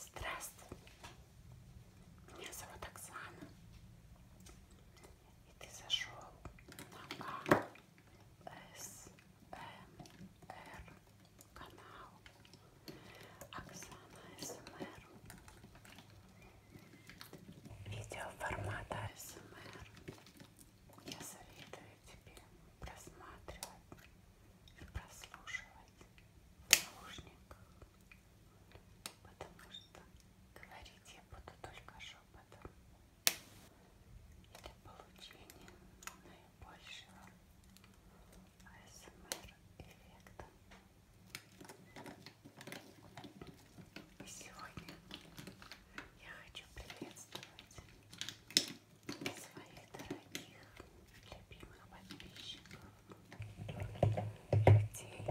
Здравствуй, меня зовут Оксана, и ты зашел на АСМР канал Оксана СМР. Видео формата АСМР я советую тебе просматривать прослушивать в наушниках, потому что говорить я буду только шепотом для получения наибольшего АСМР-эффекта. И сегодня я хочу приветствовать своих дорогих, любимых подписчиков, людей,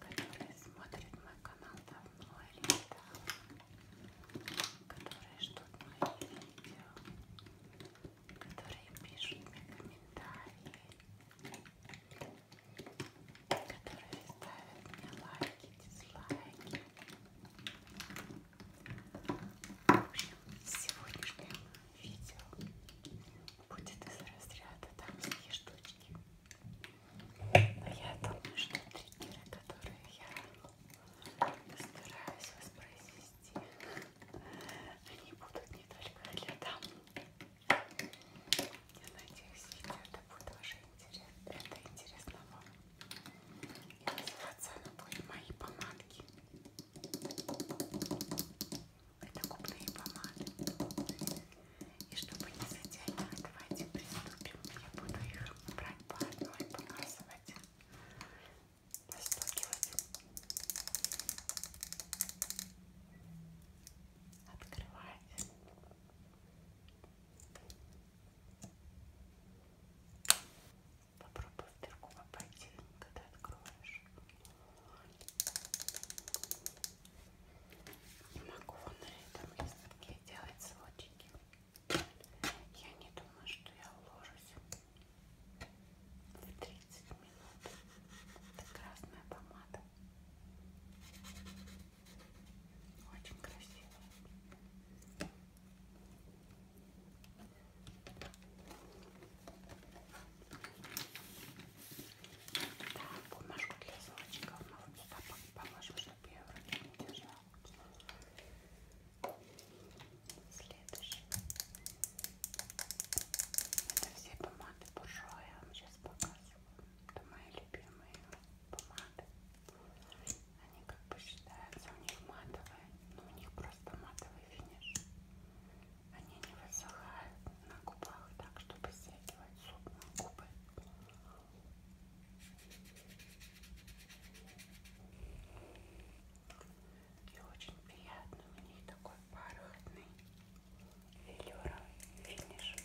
которые смотрят мой канал давно или недавно, которые ждут мои видео, которые пишут мне комментарии, которые ставят мне лайки, дизлайки. В общем, сегодняшнее видео будет из разряда там такие штучки. Но я думаю, что триггеры, которые я стараюсь воспроизвести, они будут не только для дам. Я надеюсь, видео это будет уже интересно. Это интересно вам. И называться она будет мои помадки. Это губные помады. И чтобы не затягивать, давайте приступим. Я буду их брать по одной, показывать, растягивать. Открывайте. Попробуй в дырку попасть, когда откроешь. Не могу на этом листке делать слотики. Я не думаю, что я уложусь в 30 минут. Это красная помада. Очень красивая. Да, бумажку для золочков мы вот сюда положим, чтобы я в руке не держала. Следующий. Это все помады буржуа, я вам сейчас показываю. Это мои любимые помады. Они как бы считаются, у них матовые, но ну, у них просто матовый финиш. Они не высыхают на губах так, чтобы стягивать зуб на губы. И очень приятно, у них такой бархатный велюровый финиш.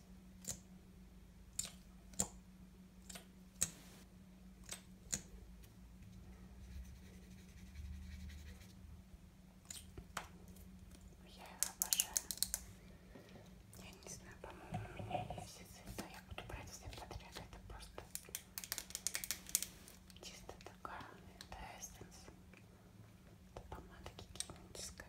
Ну, я его обожаю. Я не знаю, по-моему, у меня есть все цвета. Я буду брать все подряд. Это просто чисто такая. Это эссенс. Это помада гигиеническая.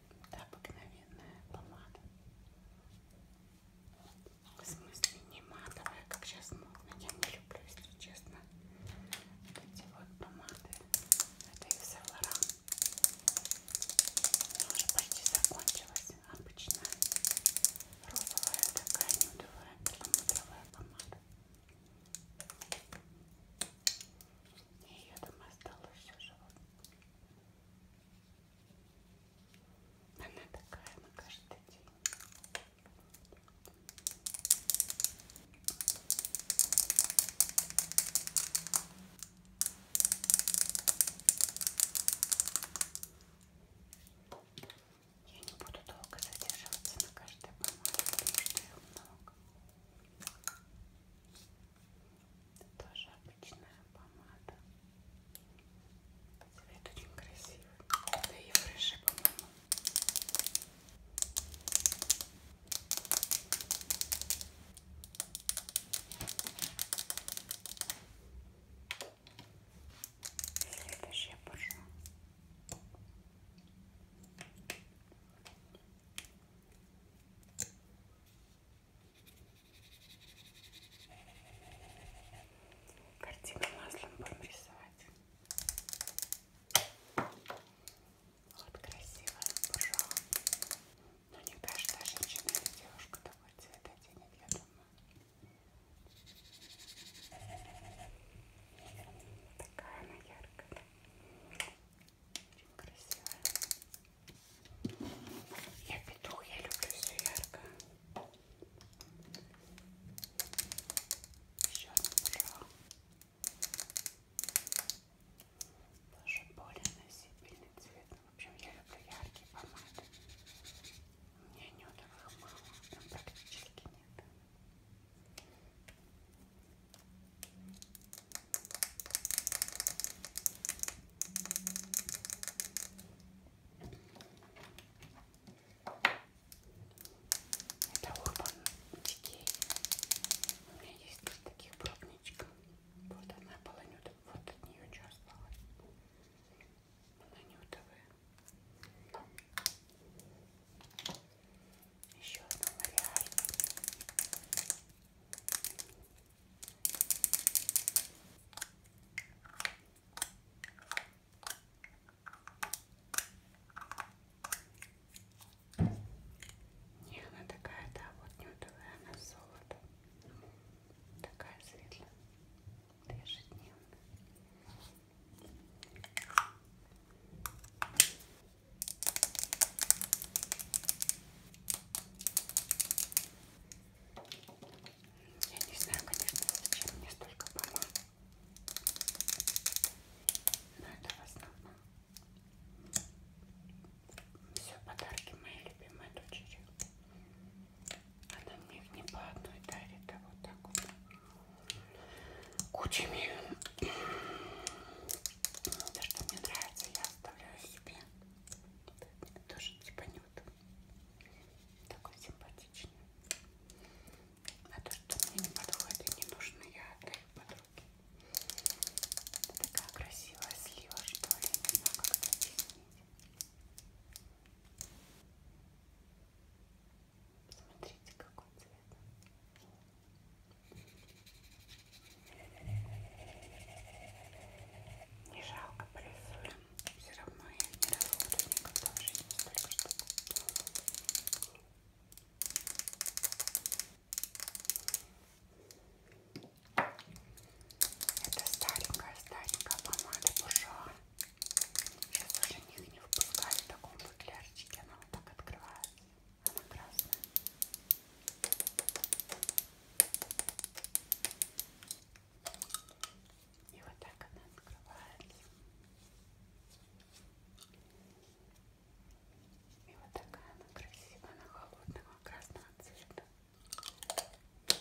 Это обыкновенная помада. В смысле не матовая, как сейчас модно. Я не люблю, если честно, эти вот помады. Это из Севера. Она ну, уже почти закончилась. Обычная розовая такая нюдовая перламутровая помада. И ее там осталось уже вот. Она такая на каждый день. Я не буду долго задерживаться на каждой помаде, потому что их много. Это тоже обычная помада. Цвет очень красивый. Да и фреши, по-моему. Следующая буржу. Картину маслом будем рисовать. Вот красивая буржуа. Но ну, не каждая женщина или девушка такой цвет оденет, я думаю. Такая она яркая. Очень красивая. Я петух, я люблю все ярко. Еще одна пожалуй. Тоже более носибельный цвет. В общем, я люблю яркие помады. У меня нюдовых мало, там практически нет. Это урбан детей. У меня есть три таких пробничка. Вот одна была нюда, вот от нее что осталось. Она нютовая. Еще одна Лореаль. Не, она такая, да, вот нюдовая, она золото. Такая светлая, ежедневная. Я не знаю, конечно, зачем мне столько помад. Но это в основном все подарки моей любимой дочери. Она мне их не по одной дарит, а вот так вот кучами. То, что мне нравится, я оставляю себе тоже типа нюд. Такой симпатичный. А то, что мне не подходит, не нужно, я отдаю подруге. Это такая красивая слива, что ли, не знаю, как это объяснить. Смотрите, какой цвет. Не жалко призули. Все равно я их не расходую никогда в жизни столько штук. Это старенькая-старенькая помада буржуа. Сейчас уже них не выпускают в таком футлярчике. Она вот так открывается. Она красная. И вот так она открывается. И вот такая она красивая, она холодного красного цвета. И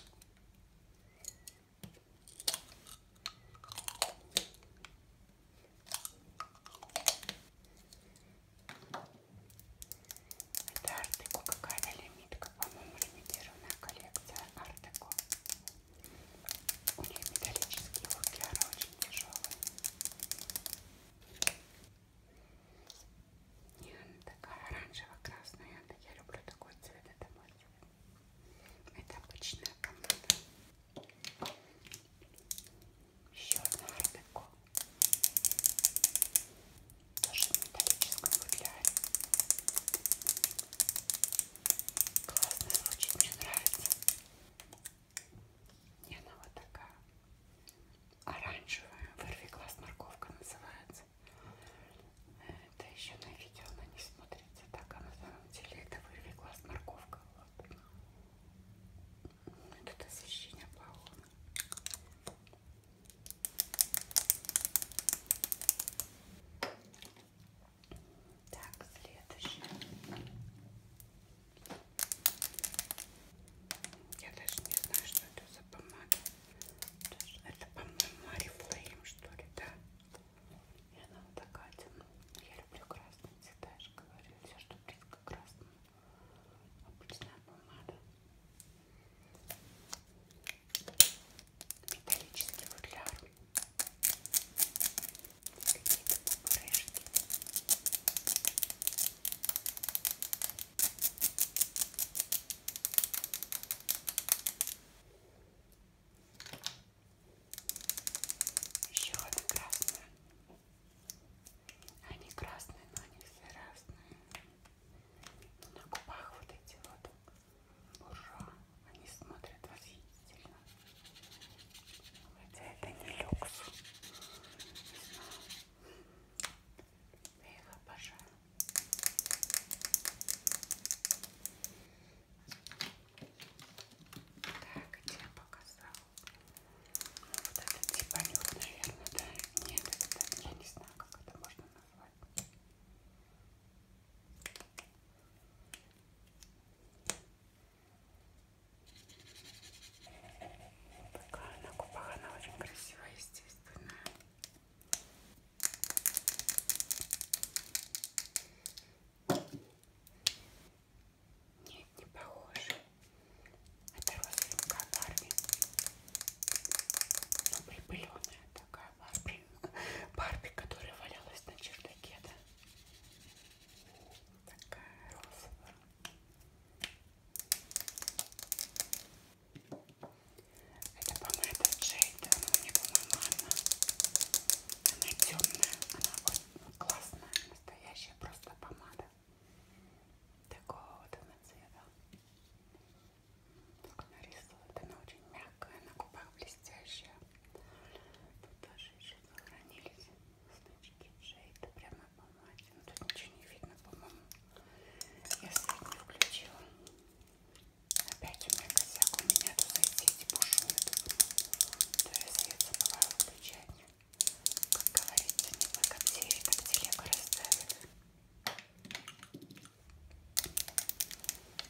это Артеко какая-то лимитка, по-моему, лимитированная коллекция Артеко. У них металлические футляры очень тяжелые. И она такая оранжево-красная. Я люблю такой цвет, это мой цвет. Это обычная помада. Еще одна Артеко тоже в металлическом футляре. Классно звучит, мне нравится. И она вот такая оранжевая, вырви глаз морковка называется. Это еще на видео она не смотрится так, а на самом деле это вырви глаз морковка. Вот. Ну, Тут освещение плавно. Так, следующий. Я даже не знаю, что это за помада. Это, по-моему, Арифлейм, что ли, да? И она вот такая темная. Я люблю красный цвета, я же говорю. Все, что близко к красному обычная помада. Металлический футляр. Какие-то пупырышки. Еще одна красная. Они красные, но они все разные. На губах вот эти вот. Буржуа. Они смотрят восхитительно. Хотя это не люкс. Не знаю. Я их обожаю. Так, где я показала? Вот это типа нюх, наверное, да? Нет, это, я не знаю, как это можно назвать. Такая на губах, она очень красивая, естественно. Нет, не похоже. Это розовенькая Барби. Ну, припыленная такая Барби. Барби, которая валялась на чердаке, да? Такая розовая. Это помада Джейд, она мне, по-моему, одна. Она темная, она вот классная, настоящая просто помада такого вот она цвета. Только нарисовывает. Она очень мягкая, на губах блестящая. Тут даже еще сохранились значки шейда прямо по мате. Но ну, тут ничего не видно, по-моему. Я свет не включила. Опять у меня косяк, у меня тут сети бушует. То я свет забываю включать. Как говорится, не по коптере, так телега расставит.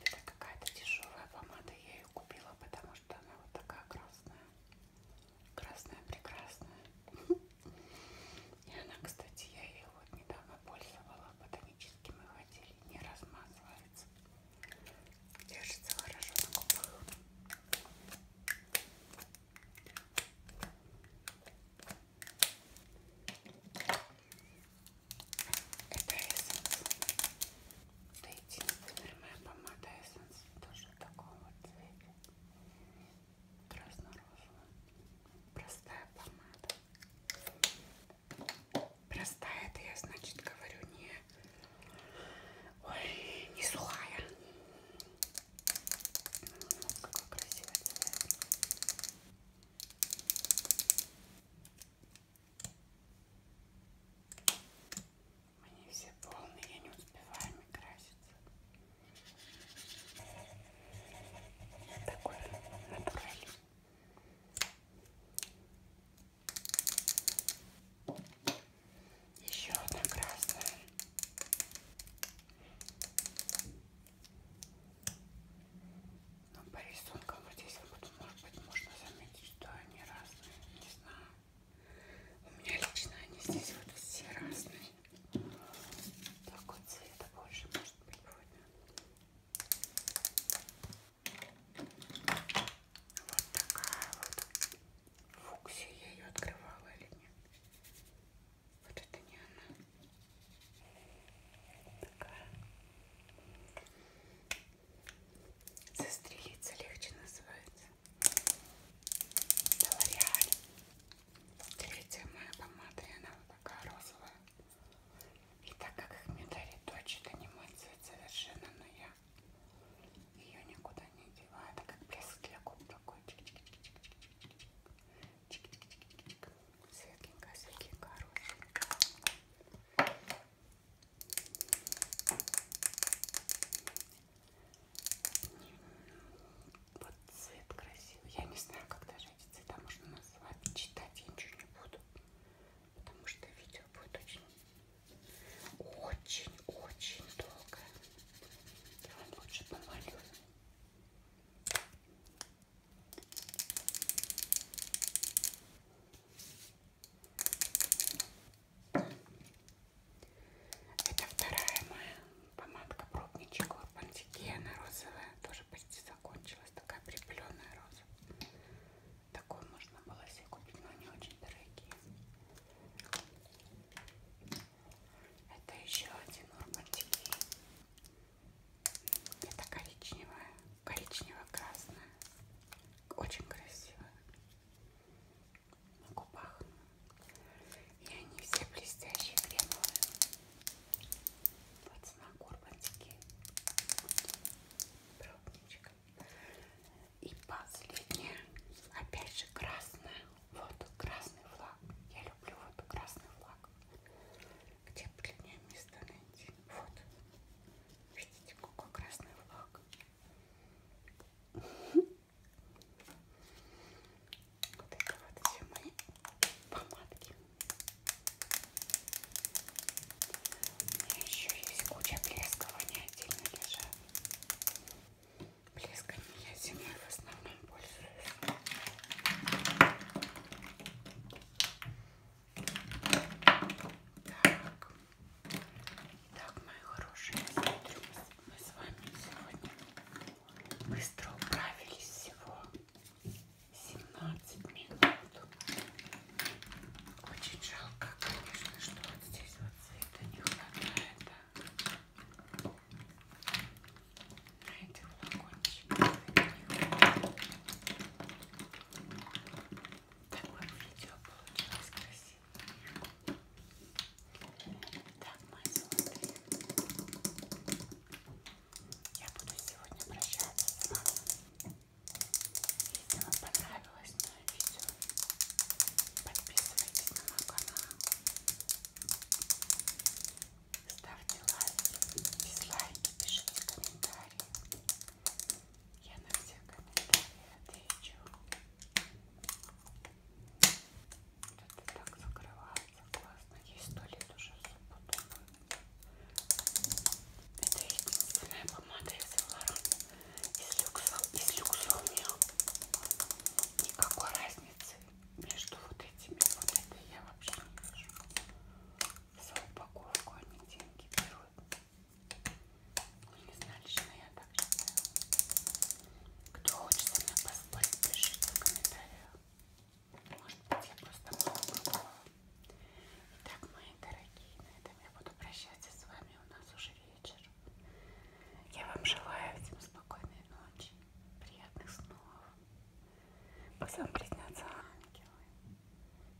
Это какая-то дешевая помада, я ее купила, потому что она вот такая красная. Красная, прекрасная. И она, кстати, я ее вот недавно пользовала в ботаническом отделе, не размазывается. Держится хорошо на губах. Это эссенс. Это единственная моя помада эссенс. Тоже в таком вот цвете. Красно-розовая. Простая помада. Простая это я, значит, говорю не... Ой, не сухая. Вот какой красивый цвет. Они все полные, я не успеваю ими краситься. Такой натуральный. Еще одна красная. Но ну, по рисункам вот здесь вот, может быть, можно заметить, что они разные. Не знаю. У меня лично они здесь вот все разные. Такой цвета больше может быть будет. Вот такая вот. Фуксия я ее открывала или нет? Вот это не она. Такая. Застрелиться легче называется. Это Лореаль. Третья моя помада, и она вот такая розовая. И так как их мне дарит дочь, это не мой цвет совершенно, но я ее никуда не деваю. Это как блеск для губ такой. Чик -чик -чик -чик -чик -чик. Светленькая, светленькая, хорошенькая. Вот цвет красивый. Я не знаю, как даже эти цвета можно назвать. Читать я ничего не буду. Потому что видео будет очень очень-очень долго. Я вам лучше помолю. Это вторая моя помадка пробничек Лапантики. Она розовая, тоже почти закончилась. Такая припыленная роза. Такую можно было себе купить, но они очень дорогие. Это еще один урбантик. Это коричневая, коричнево-красная. Очень красивая. На губах. И они все блестящие кремовые. Вот знак урбантики. Пробничка. И последняя, опять же красная. Вот красный флаг. Я люблю вот красный флаг. Где бы для меня место найти? Вот. Видите, какой красный флаг. Вот это вот все мои помадки. У меня еще есть куча блесков, они отдельно лежат. Блесками я зимой в основном пользуюсь. Так, так мои хорошие, смотрю, мы с вами сегодня быстро управились всего 17 минут. Очень жалко, конечно, что вот здесь вот цвета не хватает. Да? на этой флакончике такое видео получилось красивое так, мои золотые я буду сегодня прощаться с вами если вам понравилось мое видео подписывайтесь на мой канал Ставьте лайки, дизлайки, пишите комментарии. Я на все комментарии отвечу. Тут так закрывается классно. Есть туалет уже запутанный. Это единственная помада из Лоран. Из люкса, из люкса у меня никакой разницы между вот этими, вот это я вообще не вижу. За упаковку они деньги берут. Ну, не знаю, лично я так считаю. Кто хочет со мной поспорить, пишите в комментариях. Может быть, я просто мало пробовала. Итак, мои дорогие, на этом я буду прощаться с вами. У нас уже вечер. Я вам желаю всем спокойной ночи. Приятных снов. Пусть вам приснятся ангелы.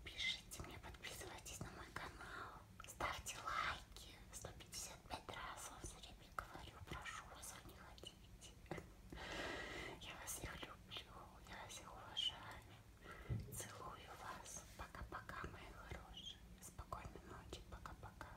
Пишите мне, подписывайтесь на мой канал. Ставьте лайки. 155 раз вам все время говорю. Прошу вас, не ходите. Я вас всех люблю. Я вас всех уважаю. Целую вас. Пока-пока, мои хорошие. Спокойной ночи. Пока-пока.